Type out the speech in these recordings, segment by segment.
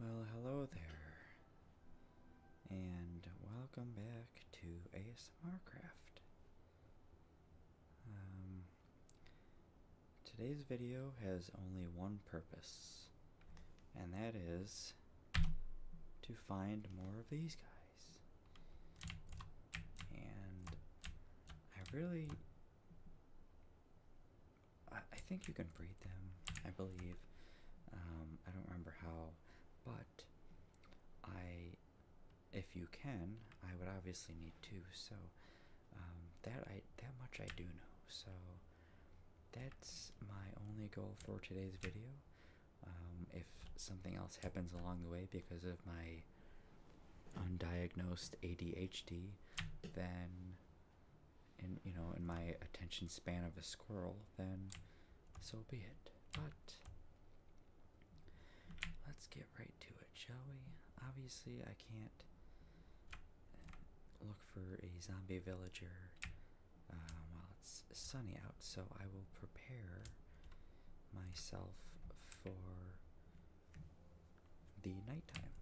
Well, hello there, and welcome back to ASMRcraft. Um, today's video has only one purpose, and that is to find more of these guys. And I really. I, think you can breed them, I believe. Um, I don't remember how, but I. If you can, I would obviously need two, so um, that I that much I do know. So that's my only goal for today's video. Um, if something else happens along the way because of my undiagnosed ADHD, then, in you know, in my attention span of a squirrel, then so be it. But let's get right to it, shall we? Obviously, I can't uh, look for a zombie villager um, it's sunny out, so I will prepare myself for the nighttime.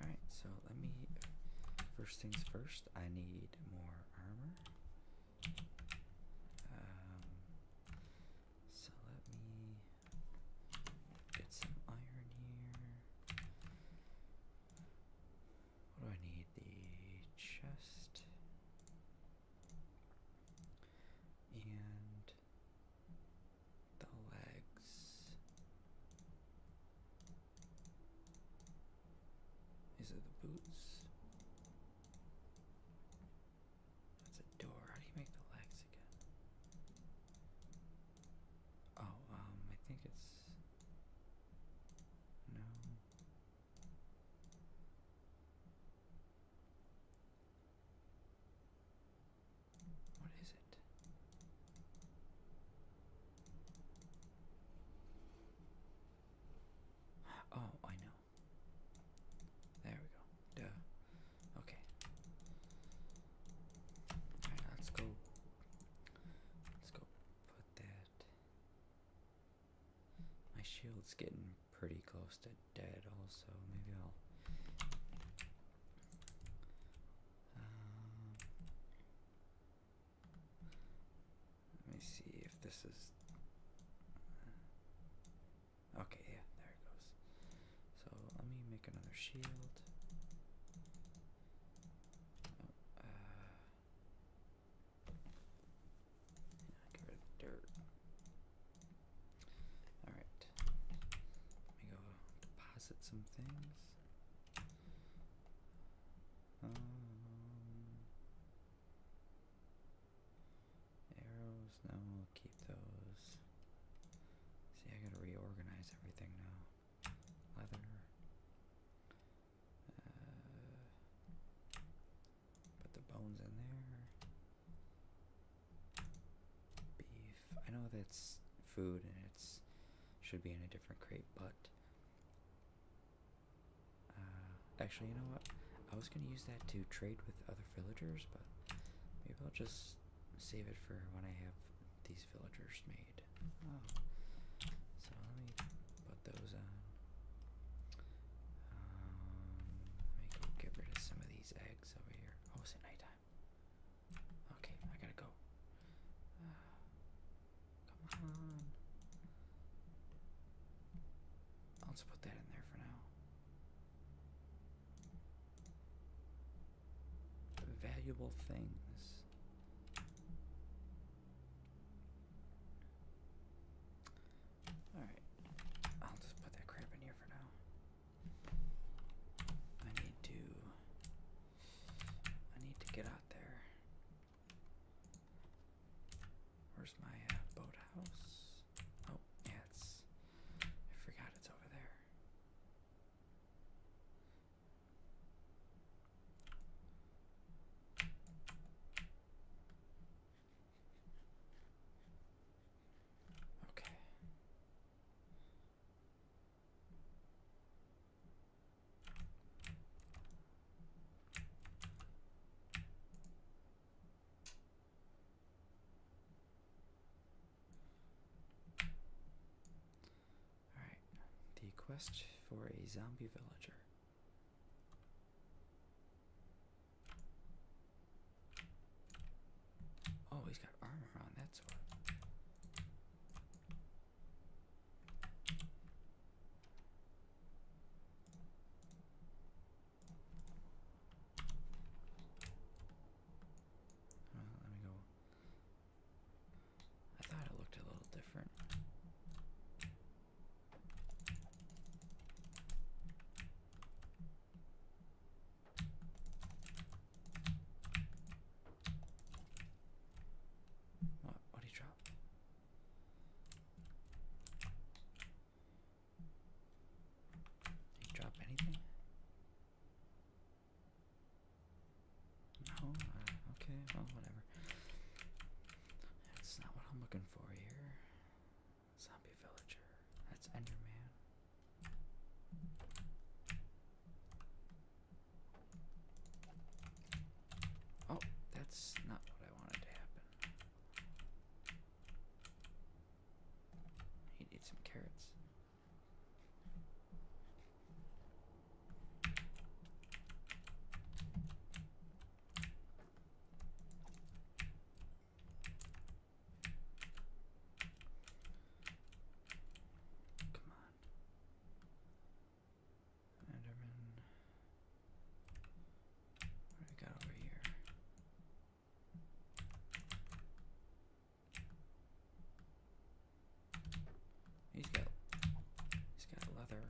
Alright, so let me. First things first, I need more armor. Um, so let me get some iron here do I need? The chest and the legs. Is it the boots? That's a door. How do you make the legs again? Oh, um, I think it's. No. What is it? Oh, I know. There we go. Duh. Okay. Alright, let's go. Let's go put that my shield's getting pretty close to dead also. Maybe I'll um, let me see if this is Okay, yeah, there it goes. So let me make another shield. Oh, uh, Get rid of the dirt. Alright. Let me go deposit some things. Um, arrows, no, keep those. See, I gotta reorganize everything now. Leather. Uh, put the bones in there. Beef. I know that's food and it should be in a different crate, but uh, actually, you know what? I was gonna use that to trade with other villagers, but maybe I'll just save it for when I have these villagers made. So let me put those on. Um, get rid of some of these eggs over here. Oh, it's nighttime. Okay, I gotta go. Uh, come on. I'll just put that in there for now. Valuable things. Alright, I'll just put that crap in here for now. I need to. I need to get out there. Where's my uh, boathouse? Oh, yeah, it's. I forgot it's over there. Okay. All right. The quest for a zombie villager. Oh, he's got armor on that sword. Uh, let me go. I thought it looked a little different. What? What do you drop? Did he drop anything? No? Uh, okay, well, whatever. That's not what I'm looking for here. Zombie villager. That's Enderman. Oh, that's not what I wanted to happen. You need some carrots. Come on. Enderman. What do we got over here? He's got he's got leather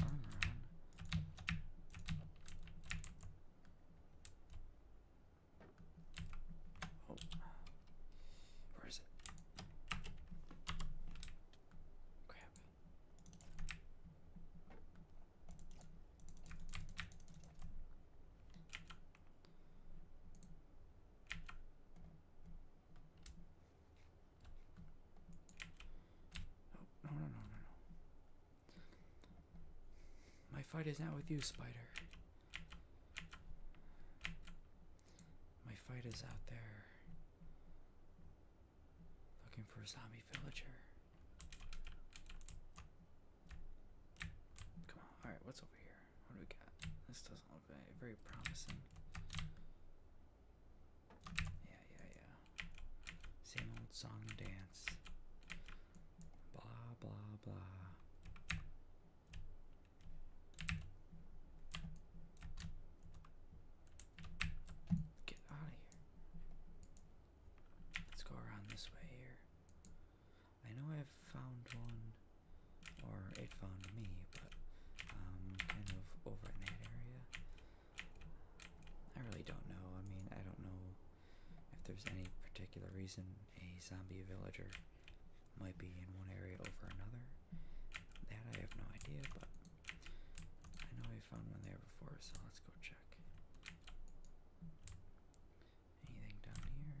armor on. Oh, where is it? Crap. Oh, no, no, no, no, no. My fight is not with you, spider. My fight is out there looking for a zombie villager. Come on, alright, what's over here? What do we got? This doesn't look very promising. Yeah, yeah, yeah. Same old song and dance. Blah, blah, blah. Get out of here. Let's go around this way here. I know I've found one, or it found me, but um, kind of over in that area. I really don't know. I mean, I don't know if there's any particular reason a zombie villager might be in one area over another. That I have no idea, but I know we found one there before, so let's go check. Anything down here?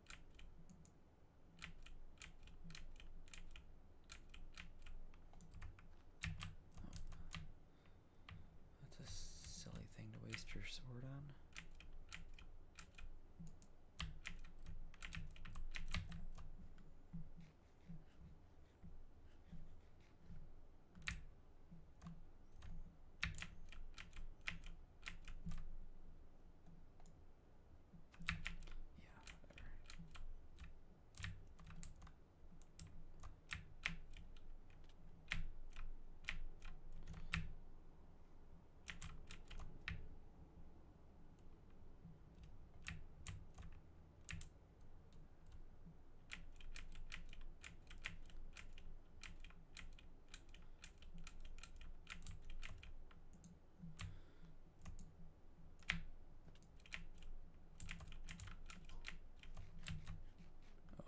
That's a silly thing to waste your sword on. Yeah, whatever.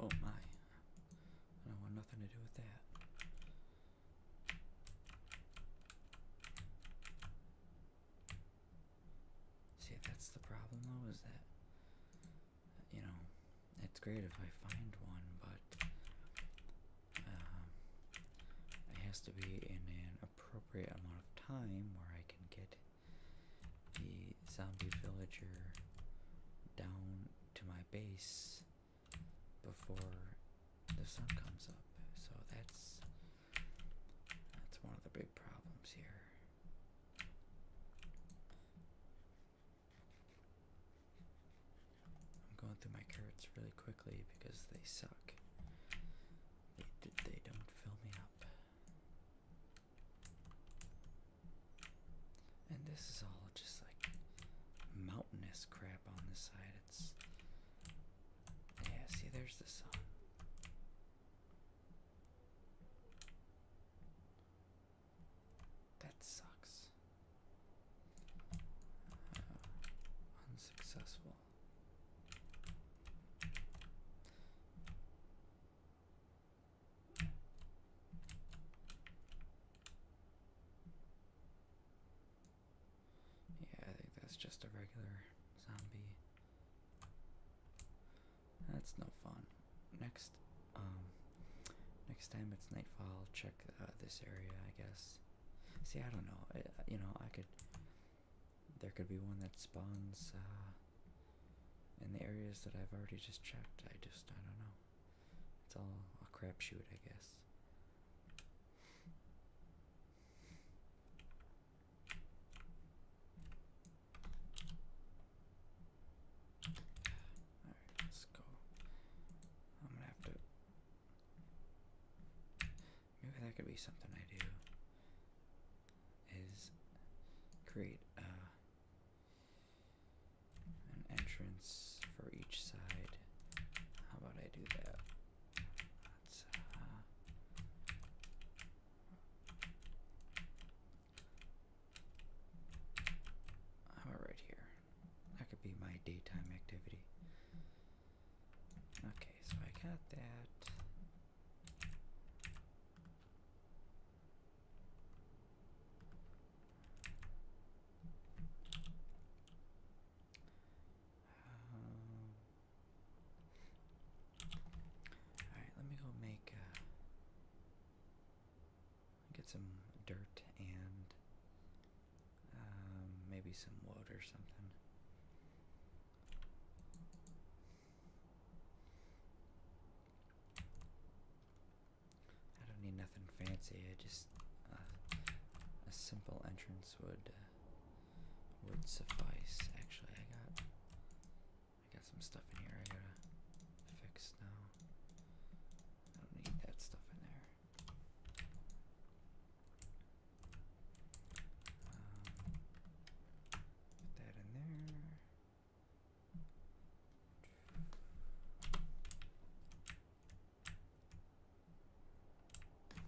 Oh my. I want nothing to do with that. See, that's the problem though, is that, you know, it's great if I find one, but um, it has to be in an appropriate amount of time where I can get the zombie villager down to my base before the sun comes up. So that's that's one of the big problems here. I'm going through my carrots really quickly because they suck. They, don't fill me up. And this is all just like mountainous crap on this side. It's. Yeah, see, there's the sun. That sucks. Uh, unsuccessful. Yeah, I think that's just a regular zombie. That's no fun. Next um, next time it's nightfall check uh, this area I guess see I don't know you know I could there could be one that spawns uh, in the areas that I've already just checked I just I don't know it's all a crapshoot I guess let's go. I'm gonna have to. Maybe that could be something I do. Is create uh, an entrance for each side. How about I do that? let uh, how about right here? That could be my daytime activity. Okay, so I got that. Um, Alright, let me go make get some dirt and um, maybe some wood or something. I don't need nothing fancy. I just uh, a simple entrance would uh, would suffice. Actually, I got I got some stuff in here. I gotta fix now. I don't need that stuff in there.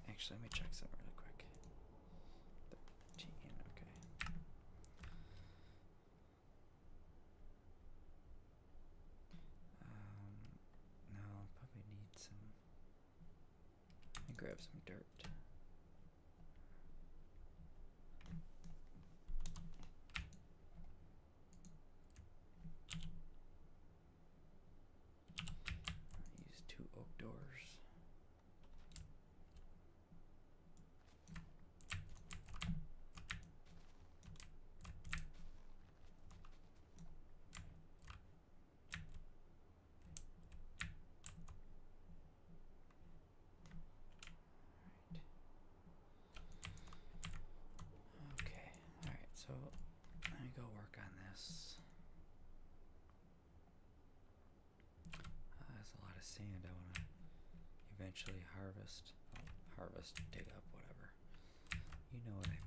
Actually, let me check something really quick. okay. Um, no, probably need some. grab some dirt. use two oak doors. Okay, alright, so let me go work on this. Uh, there's a lot of sand I want to eventually harvest. Oh, harvest, dig up, whatever. You know what I mean. All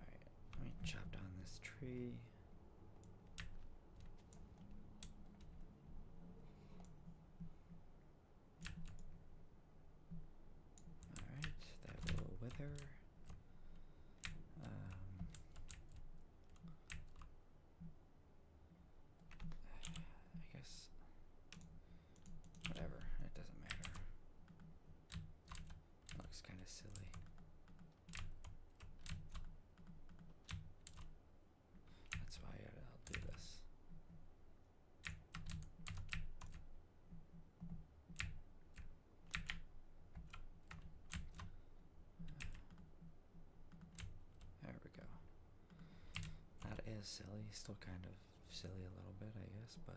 right, let me chop down this tree. Alright, that will wither. Um, I guess. Whatever, it doesn't matter. Looks kind of silly. That's why I'll do this. There we go. That is silly, still kind of silly a little bit, I guess, but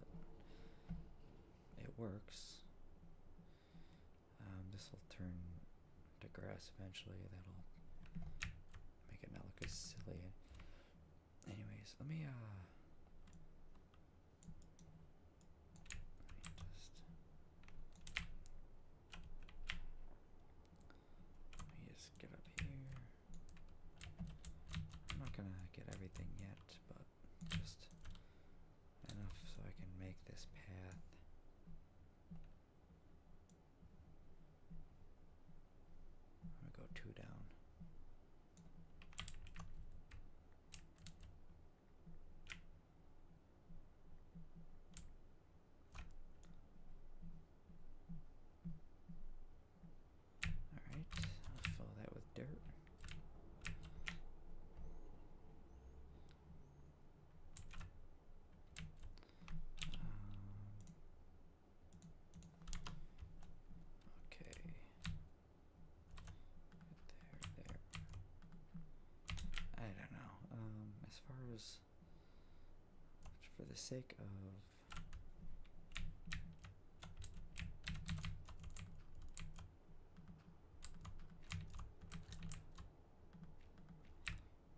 it works. Um, this will turn to grass eventually. That'll make it not look as silly. Anyways, let me Let me just. Let me just get up here. I'm not gonna get everything yet, but just enough so I can make this path. I'm gonna go two down. All fill that with dirt. Um, okay. There, there. I don't know. Um, as far as for the sake of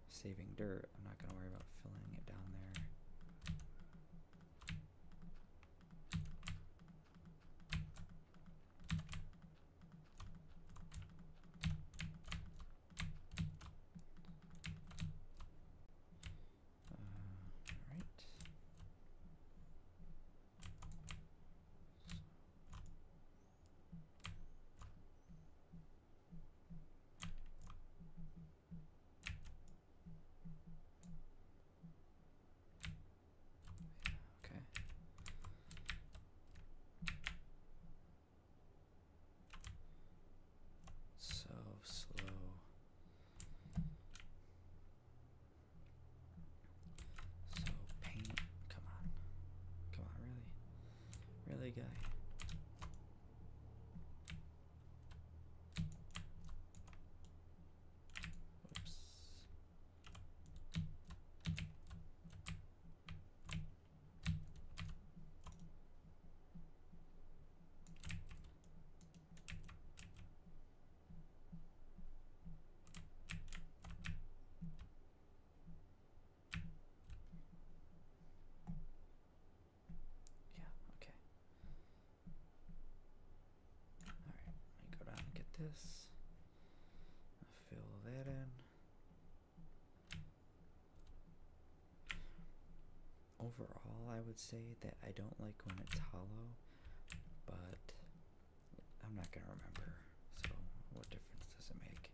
Saving dirt. I'm not going to worry about filling it down there. Uh, all right. Okay. So slow. So paint, come on, come on, really, really, guy. Oops. Yeah, okay. Alright, let me go down and get this. fill that in. Overall, I would say that I don't like when it's hollow, but I'm not gonna remember, so what difference does it make? Okay.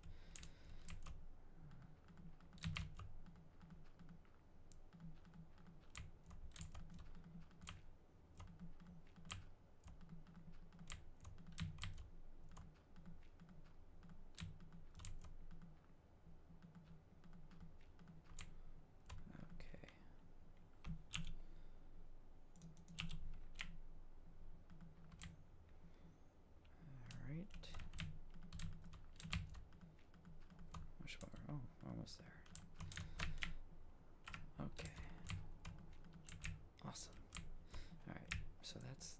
Alright. Which bar? Oh, almost there. Okay. Awesome. Alright, so that's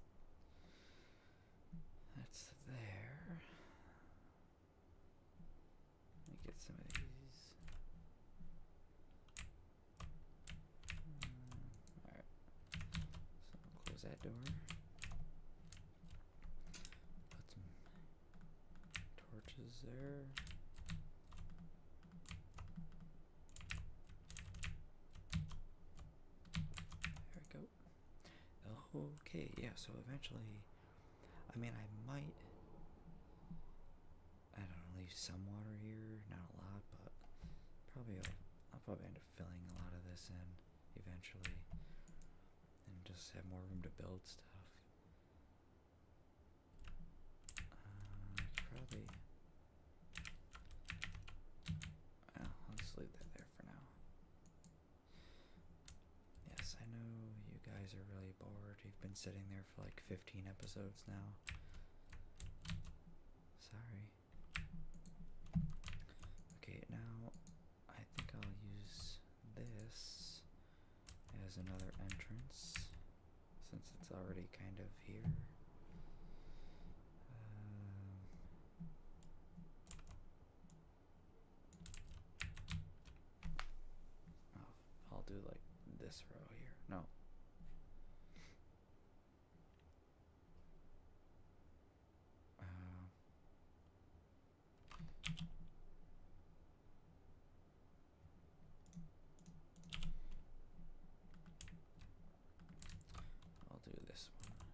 that's there. Let me get some of these. All right. So close that door. Put some torches there. There we go. Okay, yeah, so eventually, I mean, I might I don't know, leave some water here, not a lot, but probably I'll, probably end up filling a lot of this in eventually and just have more room to build stuff. Uh, probably. Well, I'll just leave that there for now. Yes, I know you guys are really bored. You've been sitting there for like 15 episodes now. Sorry. Okay, now I think I'll use this as another entrance since it's already kind of here. Um, oh, I'll do like this row here. No. Uh, I'll do this one.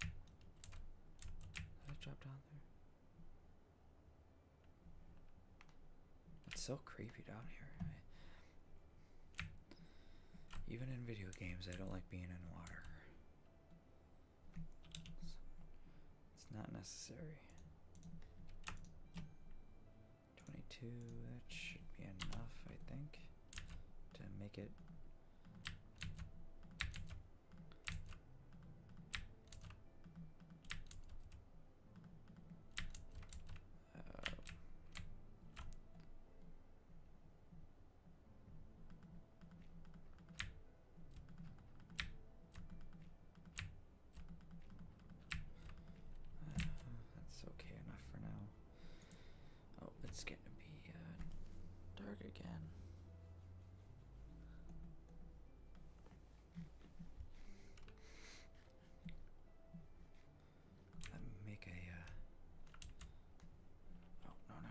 Did I drop down there? It's so creepy down here. even in video games, I don't like being in water. It's not necessary. 22, that should be enough, I think, to make it uh, that's okay enough for now. Oh, it's going to be uh, dark again. Let me make a. Uh, oh no no no!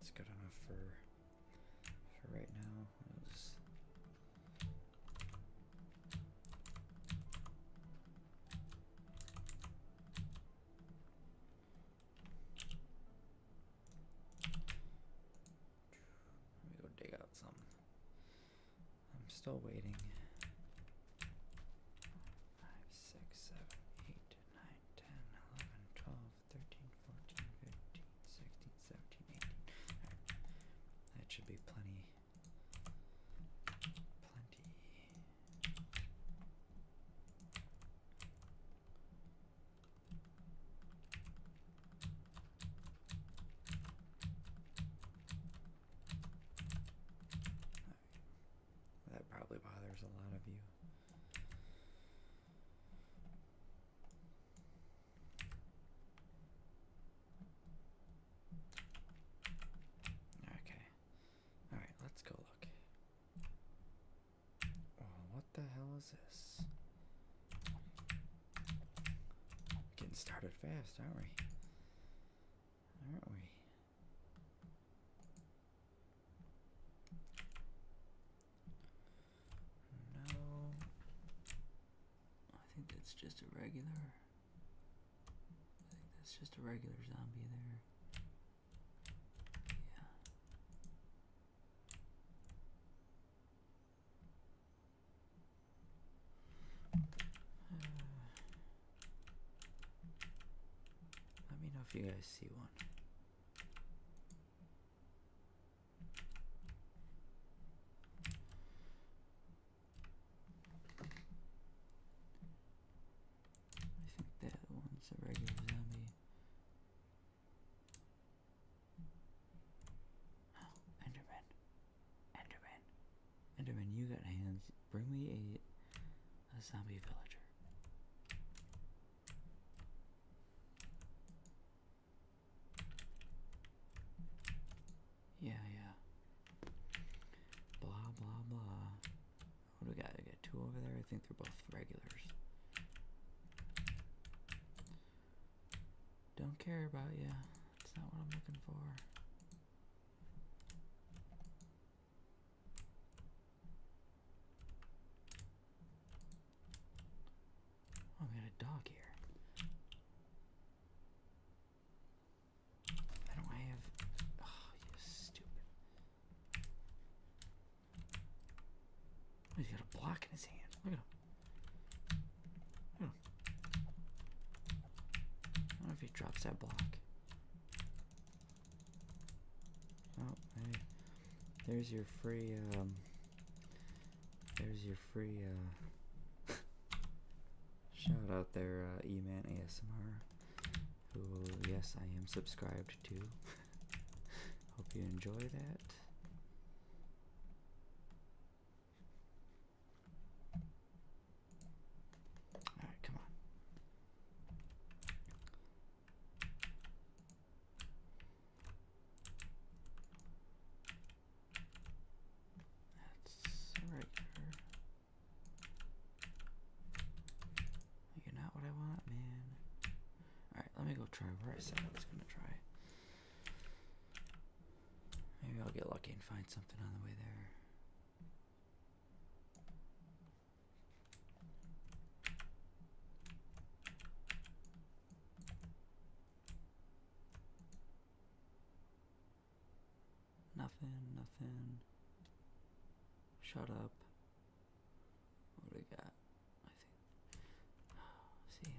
It's good enough for for right now. let me go dig out some I'm still waiting. Five, six, seven, eight, nine, ten, eleven, twelve, thirteen, fourteen, fifteen, sixteen, seventeen, eighteen. That should be plenty. Plenty. That probably bothers a lot of you. Okay. Alright, let's go look. what the hell is this? getting started fast, aren't we? aren't we? No, I think that's just a regular. I think that's just a regular zombie there. Yeah. Uh, let me know if you guys see one. I think that one's a regular zombie. Oh, Enderman. Enderman. Enderman, you got hands. Bring me a, a zombie villager. Yeah, yeah. Blah, blah, blah. What do we got? We got two over there. I think they're both regulars. Don't care about you. It's not what I'm looking for. I oh, we got a dog here. I don't have. Oh, you stupid. he's got a block in his hand. Look at him. Huh. if he drops that block. Oh, There's your free, um, There's your free, uh, shout out there, uh, E-Man ASMR. Who, yes, I am subscribed to. Hope you enjoy that. All right, come on. That's right You're not what I want, man. Alright, let me go try where I said I was gonna try. Maybe I'll get lucky and find something on the way there. Nothing, nothing. Shut up. What do we got? I think. see.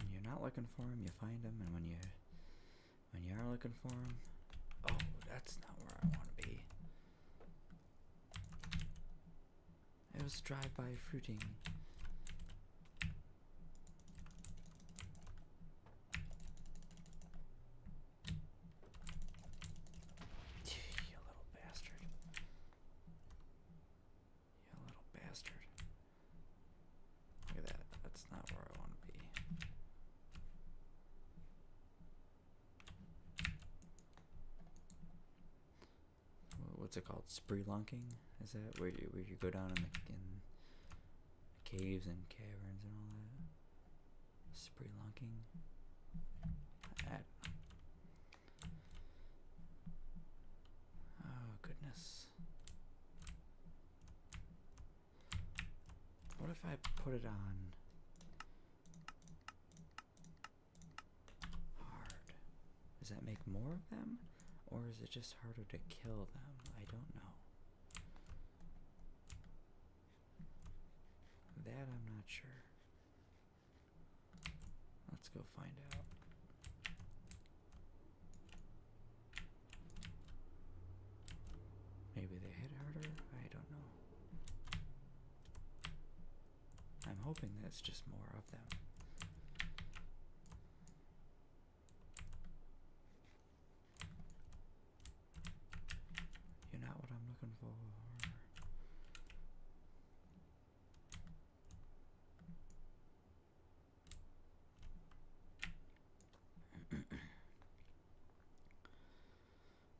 When you're not looking for them, you find them, and when you when you are looking for them, oh, that's not where I want to be. It was drive-by fruiting. you little bastard. You little bastard. Look at that. That's not where I want to be. What's it called? Spree lunking? Is that where you where you go down in in caves and caverns and all that? Spree lunking? Oh, goodness. What if I put it on hard? Does that make more of them? Or is it just harder to kill them? I don't know. That I'm not sure. Let's go find out. Maybe they hit harder? I don't know. I'm hoping that's just more of them. You're not what I'm looking for.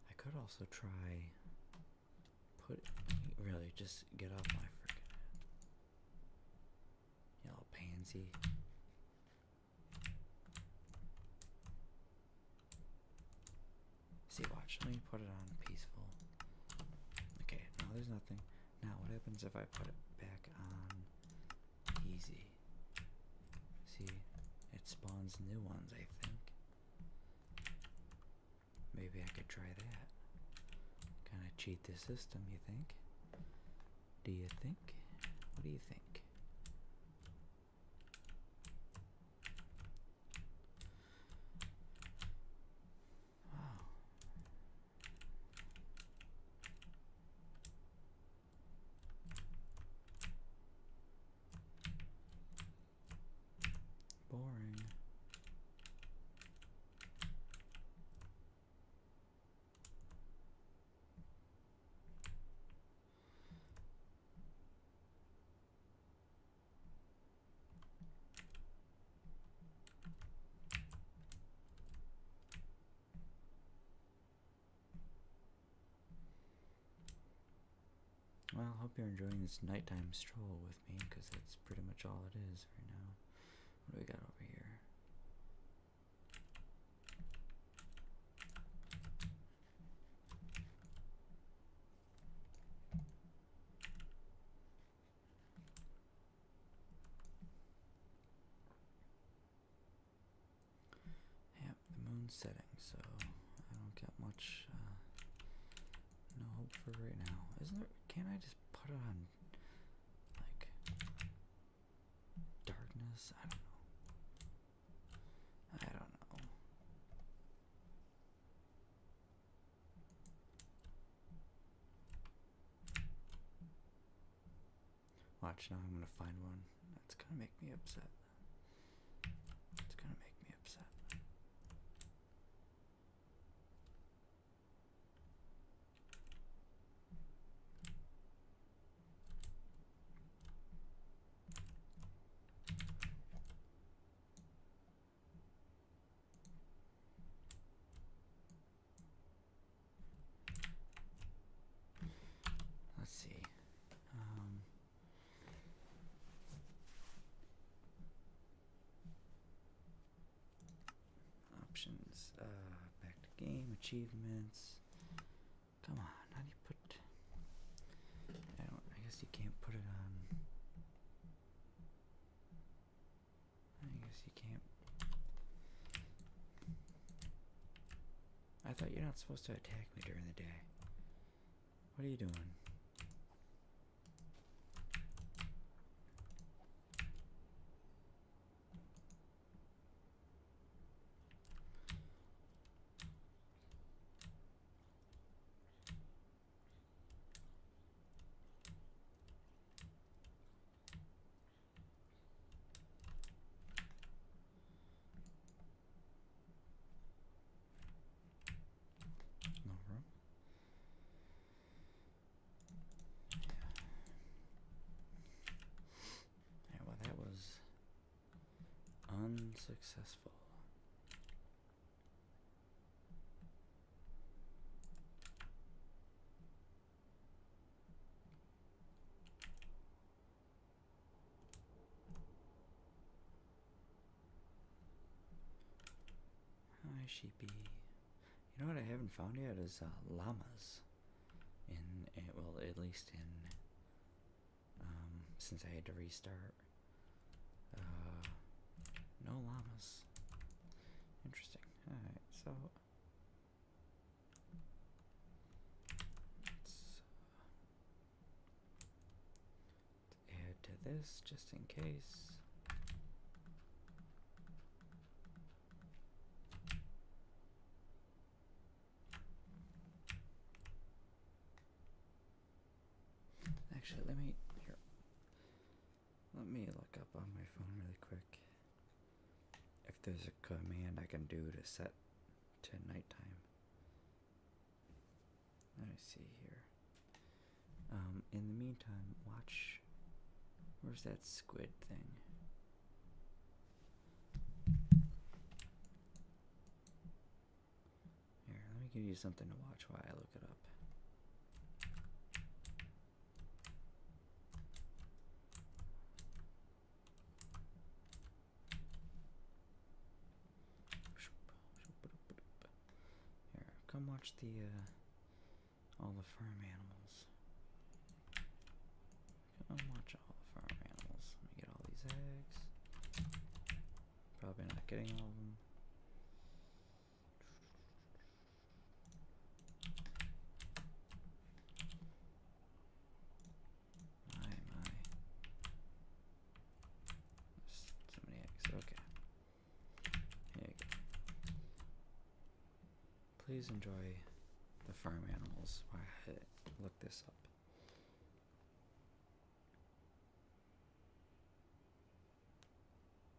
I could also try put really just get off my freaking yellow pansy. See, watch. Let me put it on peaceful. Okay, no, there's nothing. Now, what happens if I put it back on easy? See, it spawns new ones, I think. Maybe I could try that. Kind of cheat the system, you think? Do you think? What do you think? Boring. Well, I hope you're enjoying this nighttime stroll with me, because that's pretty much all it is right now. What do we got over here? Yeah, the moon's setting, so I don't get much, uh, no hope for right now. Isn't there, can't I just put it on, like, darkness? I don't know. I don't know. Watch now, I'm gonna find one. That's gonna make me upset. It's gonna make me upset. Let's see. Um, options. Uh, back to game achievements. Come on, how do you put? I don't. I guess you can't put it on. I guess you can't. I thought you're not supposed to attack me during the day. What are you doing? No room. Yeah, well, that was unsuccessful. Hi, sheepy. You know what I haven't found yet is uh, llamas. In uh, well, at least in um, since I had to restart. Uh, no llamas. Interesting. Alright, so let's uh, add to this just in case. Actually, let me here. Let me look up on my phone really quick if there's a command I can do to set to nighttime. Let me see here. Um, in the meantime, watch. Where's that squid thing? Here, let me give you something to watch while I look it up. Here, come watch the uh, all the farm animals. Come watch all the farm animals. Let me get all these eggs. Probably not getting all of them. My, my. So many eggs. Okay. Here you go. Please enjoy the farm animals. Why I look this up.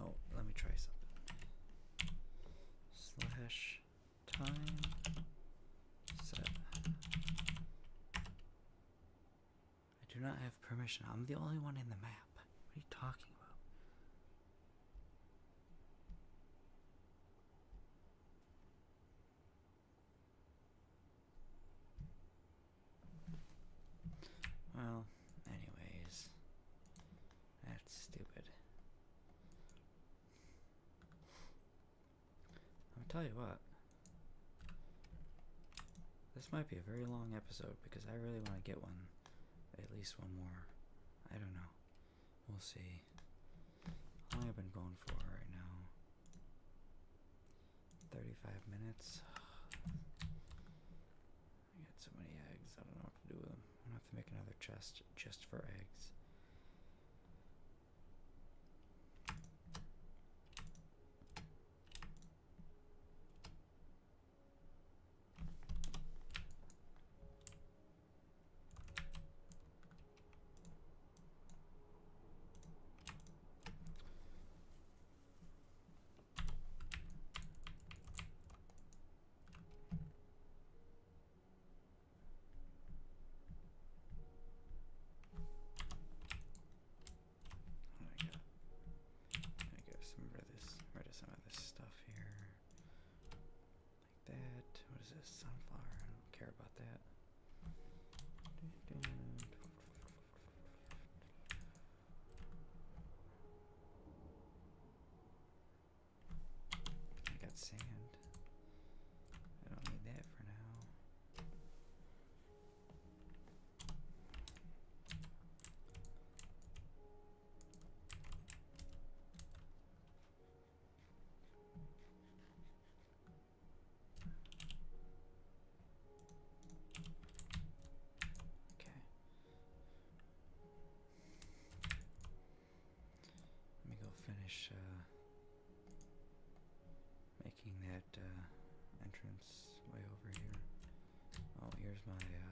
Oh, let me try something. Slash time set. I do not have permission. I'm the only one in the map. What are you talking about? Well, anyways, that's stupid. I'll tell you what. This might be a very long episode because I really want to get one, at least one more. I don't know. We'll see. I've been going for right now Thirty-five minutes. I got so many eggs. I don't know what to do with them. I'm gonna have to make another chest just for eggs. I got, I got some rid of this, rid of some of this stuff here. Like that. What is this? Sunflower. I don't care about that. I got sand. I don't need that for now. Okay. Let me go finish uh, making that uh, entrance way over here. Oh, here's my. Uh,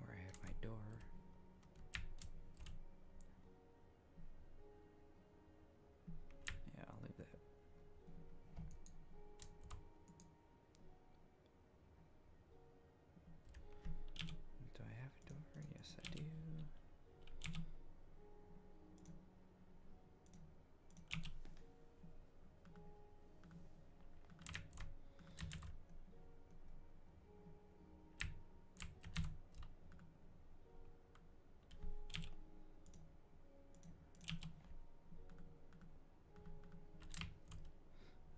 where I have my door. Yeah, I'll leave that. Do I have a door? Yes, I do.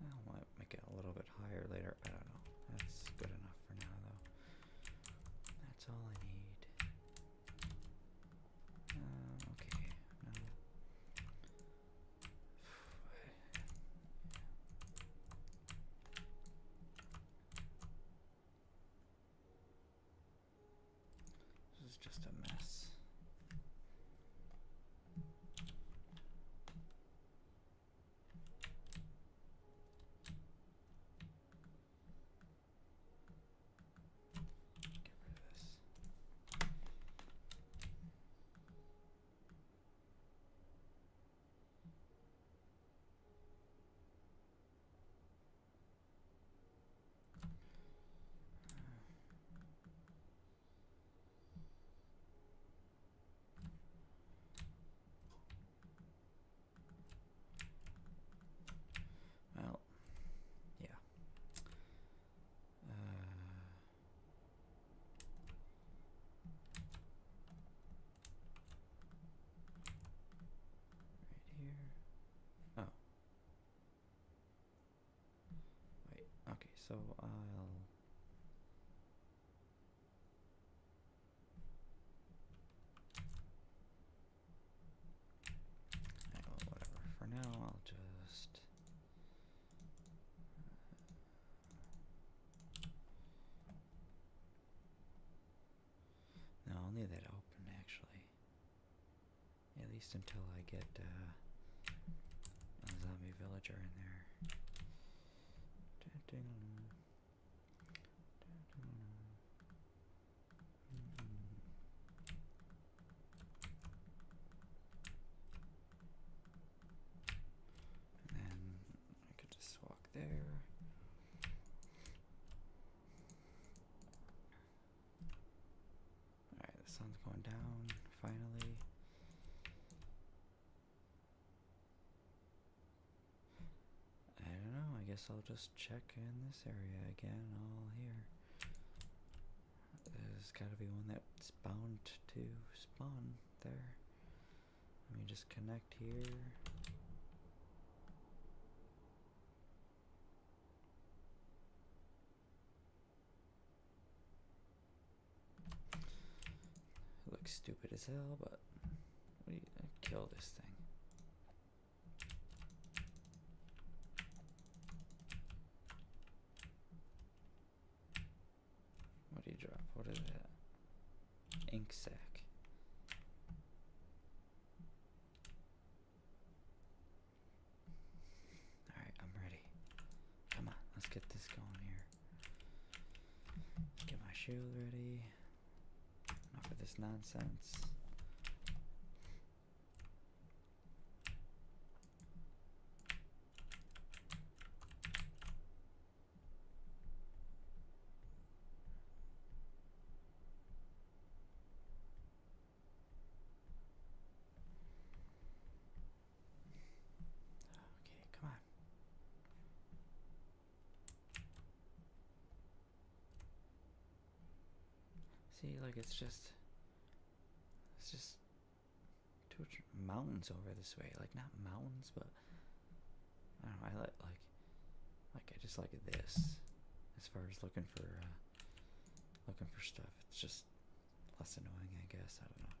I might make it a little bit higher later. I don't know. That's good enough for now, though. That's all I need. Uh, okay. Now this is just a mess. Get rid this. Well, yeah. Uh, Right here. Oh. Wait, okay, so I'll. I whatever. For now, I'll just no, i that open actually. At least until I get uh, a zombie villager in there. I could just walk there. Alright, the sun's going down finally. I don't know, I guess I'll just check in this area again all here. There's gotta be one that's bound to spawn there. Let me just connect here. looks stupid as hell, but what uh, kill this thing. What do you drop? What is that? Ink sack. Alright, I'm ready. Come on, let's get this going here. Get my shield ready. Enough of this nonsense. Okay, come on. See, like it's just, it's just Two mountains over this way, like not mountains, but I don't know. I like like like I just like this as far as looking for uh, looking for stuff. It's just less annoying, I guess. I don't know.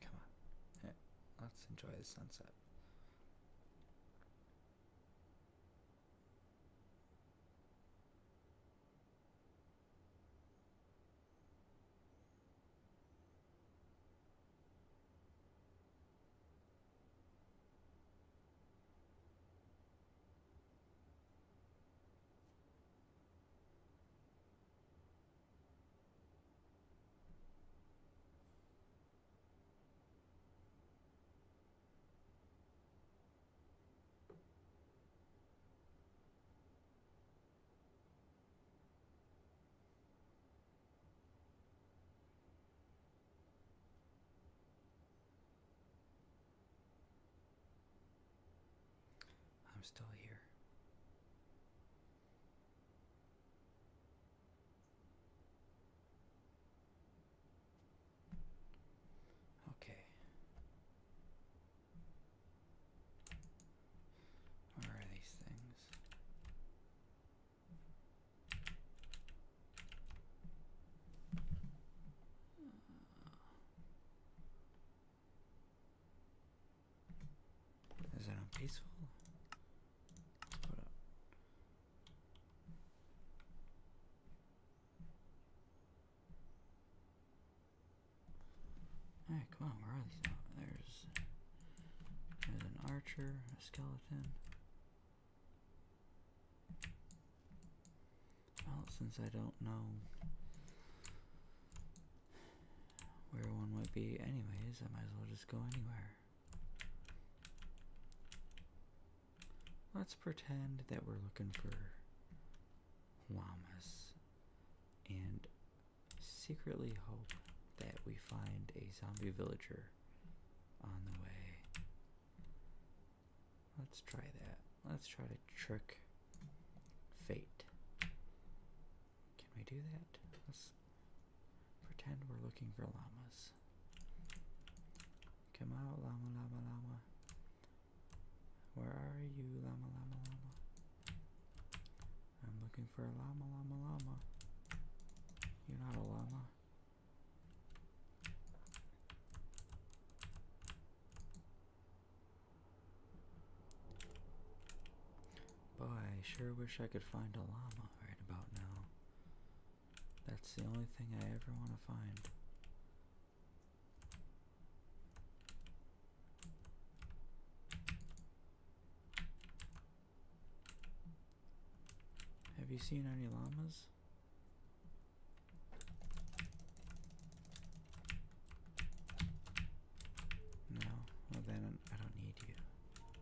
Come on. let's enjoy the sunset. I'm still here. Okay. Where are these things? Is that on peaceful? Alright, come on, where are these? Oh, there's, there's an archer, a skeleton. Well, since I don't know where one might be anyways, I might as well just go anywhere. Let's pretend that we're looking for llamas and secretly hope that we find a zombie villager on the way. Let's try that. Let's try to trick fate. Can we do that? Let's pretend we're looking for llamas. Come out, llama, llama, llama. Where are you, llama, llama, llama? I'm looking for a llama, llama, llama. You're not a llama. Boy, I sure wish I could find a llama right about now. That's the only thing I ever want to find. Have you seen any llamas? No, well then I don't need you.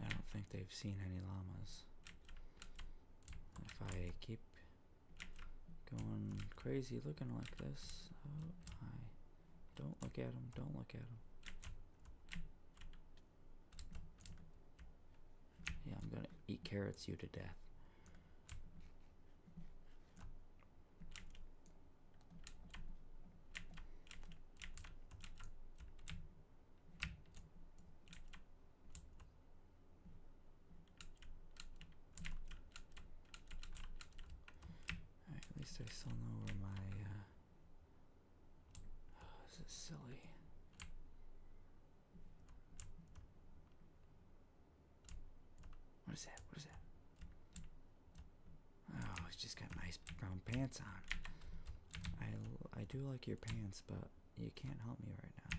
I don't think they've seen any llamas. If I keep going crazy looking like this, oh, don't look at them, don't look at them. Yeah, I'm gonna eat carrots you to death at least I still know where my. Uh, oh, this is silly. What is that? What is that? Oh, he's just got nice brown pants on. I I do like your pants, but you can't help me right now.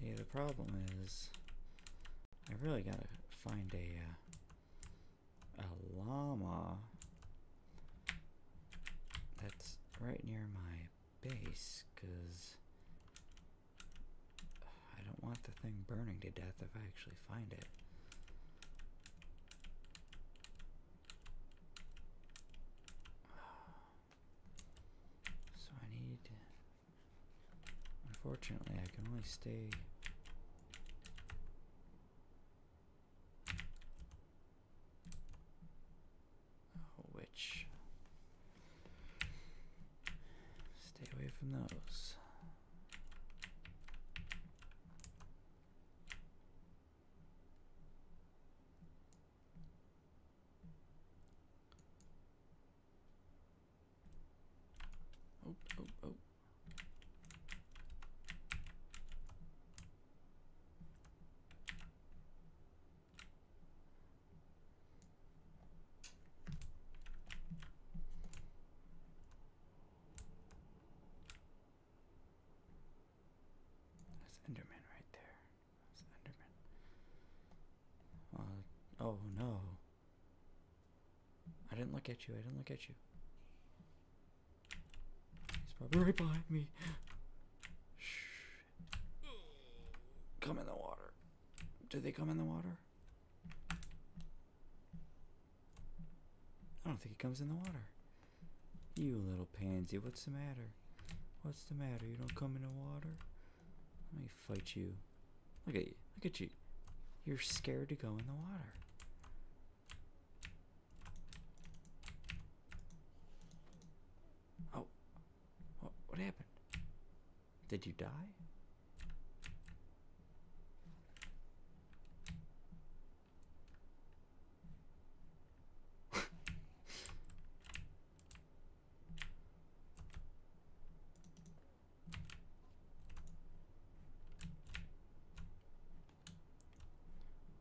See, the problem is, I really gotta find a, uh, a llama that's right near my base, because I don't want the thing burning to death if I actually find it. So I need Unfortunately, I can only stay. Oh, Stay away from those. Oh, oh, oh. That's Enderman right there. That's Enderman. Uh, oh no. I didn't look at you. I didn't look at you. He's probably right behind me. Shh. Come in the water. Did they come in the water? I don't think he comes in the water. You little pansy, what's the matter? What's the matter? You don't come in the water? Let me fight you. Look at you. Look at you. You're scared to go in the water. Oh. What, happened? Did you die?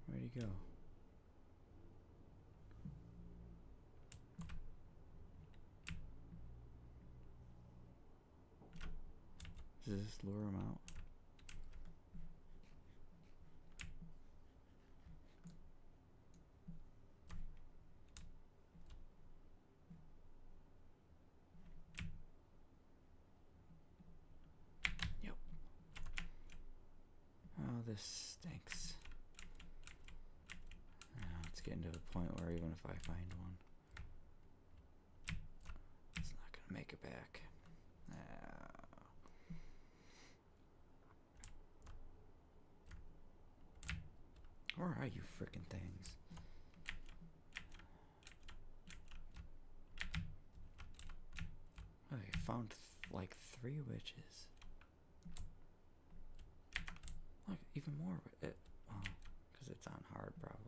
Where'd he go? Does this lure him out? Yep. Oh, this stinks. Ah, it's getting to the point where even if I find one, it's not gonna make it back. Uh, where are you freaking things? I oh, found like three witches. Like even more. It, because it's on hard, probably.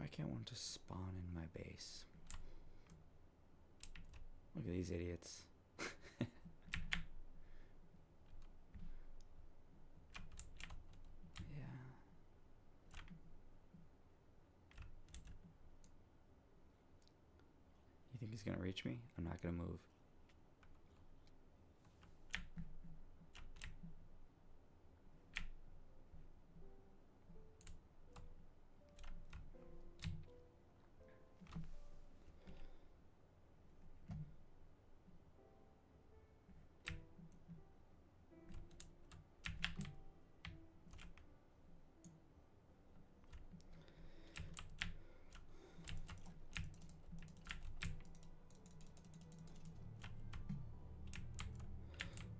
I can't want to spawn in my base? Look at these idiots. You think he's gonna reach me? I'm not gonna move.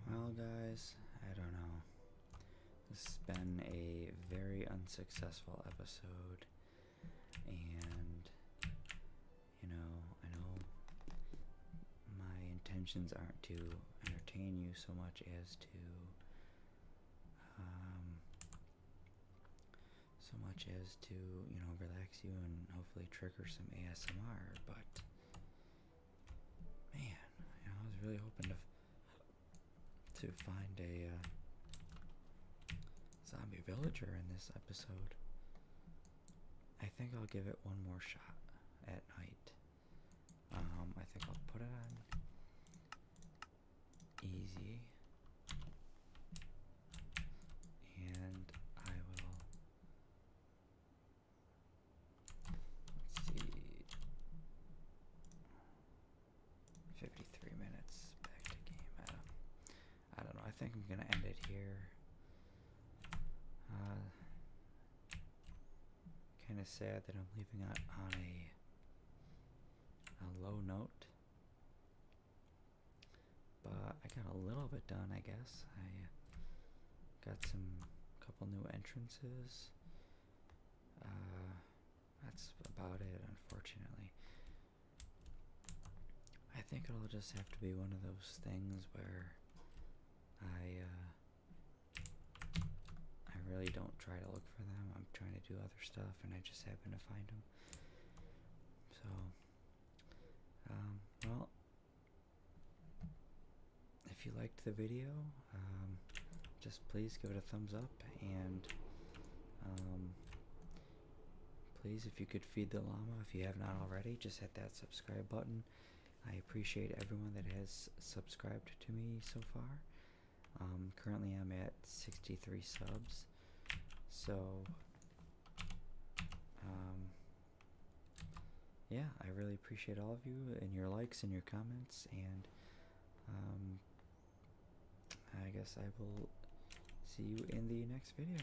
Well, guys, I don't know. This has been a very unsuccessful episode, and you know, I know my intentions aren't to entertain you so much as to um so much as to you know relax you and hopefully trigger some ASMR but man I was really hoping to to find a uh, zombie villager in this episode. I think I'll give it one more shot at night. Um, I think I'll put it on easy. And I will. see. 53 minutes back to game. I don't, I don't know. I think I'm going to end it here. Uh, kind of sad that I'm leaving it on a, a low note. But I got a little bit done, I guess. I uh, got some couple new entrances. Uh, that's about it, unfortunately. I think it'll just have to be one of those things where I uh, I really don't try to look for them. I'm trying to do other stuff, and I just happen to find them. So, um, well, if you liked the video, um, just please give it a thumbs up and um, please if you could feed the llama if you have not already just hit that subscribe button i appreciate everyone that has subscribed to me so far um, currently i'm at 63 subs so um, yeah i really appreciate all of you and your likes and your comments and I guess I will see you in the next video.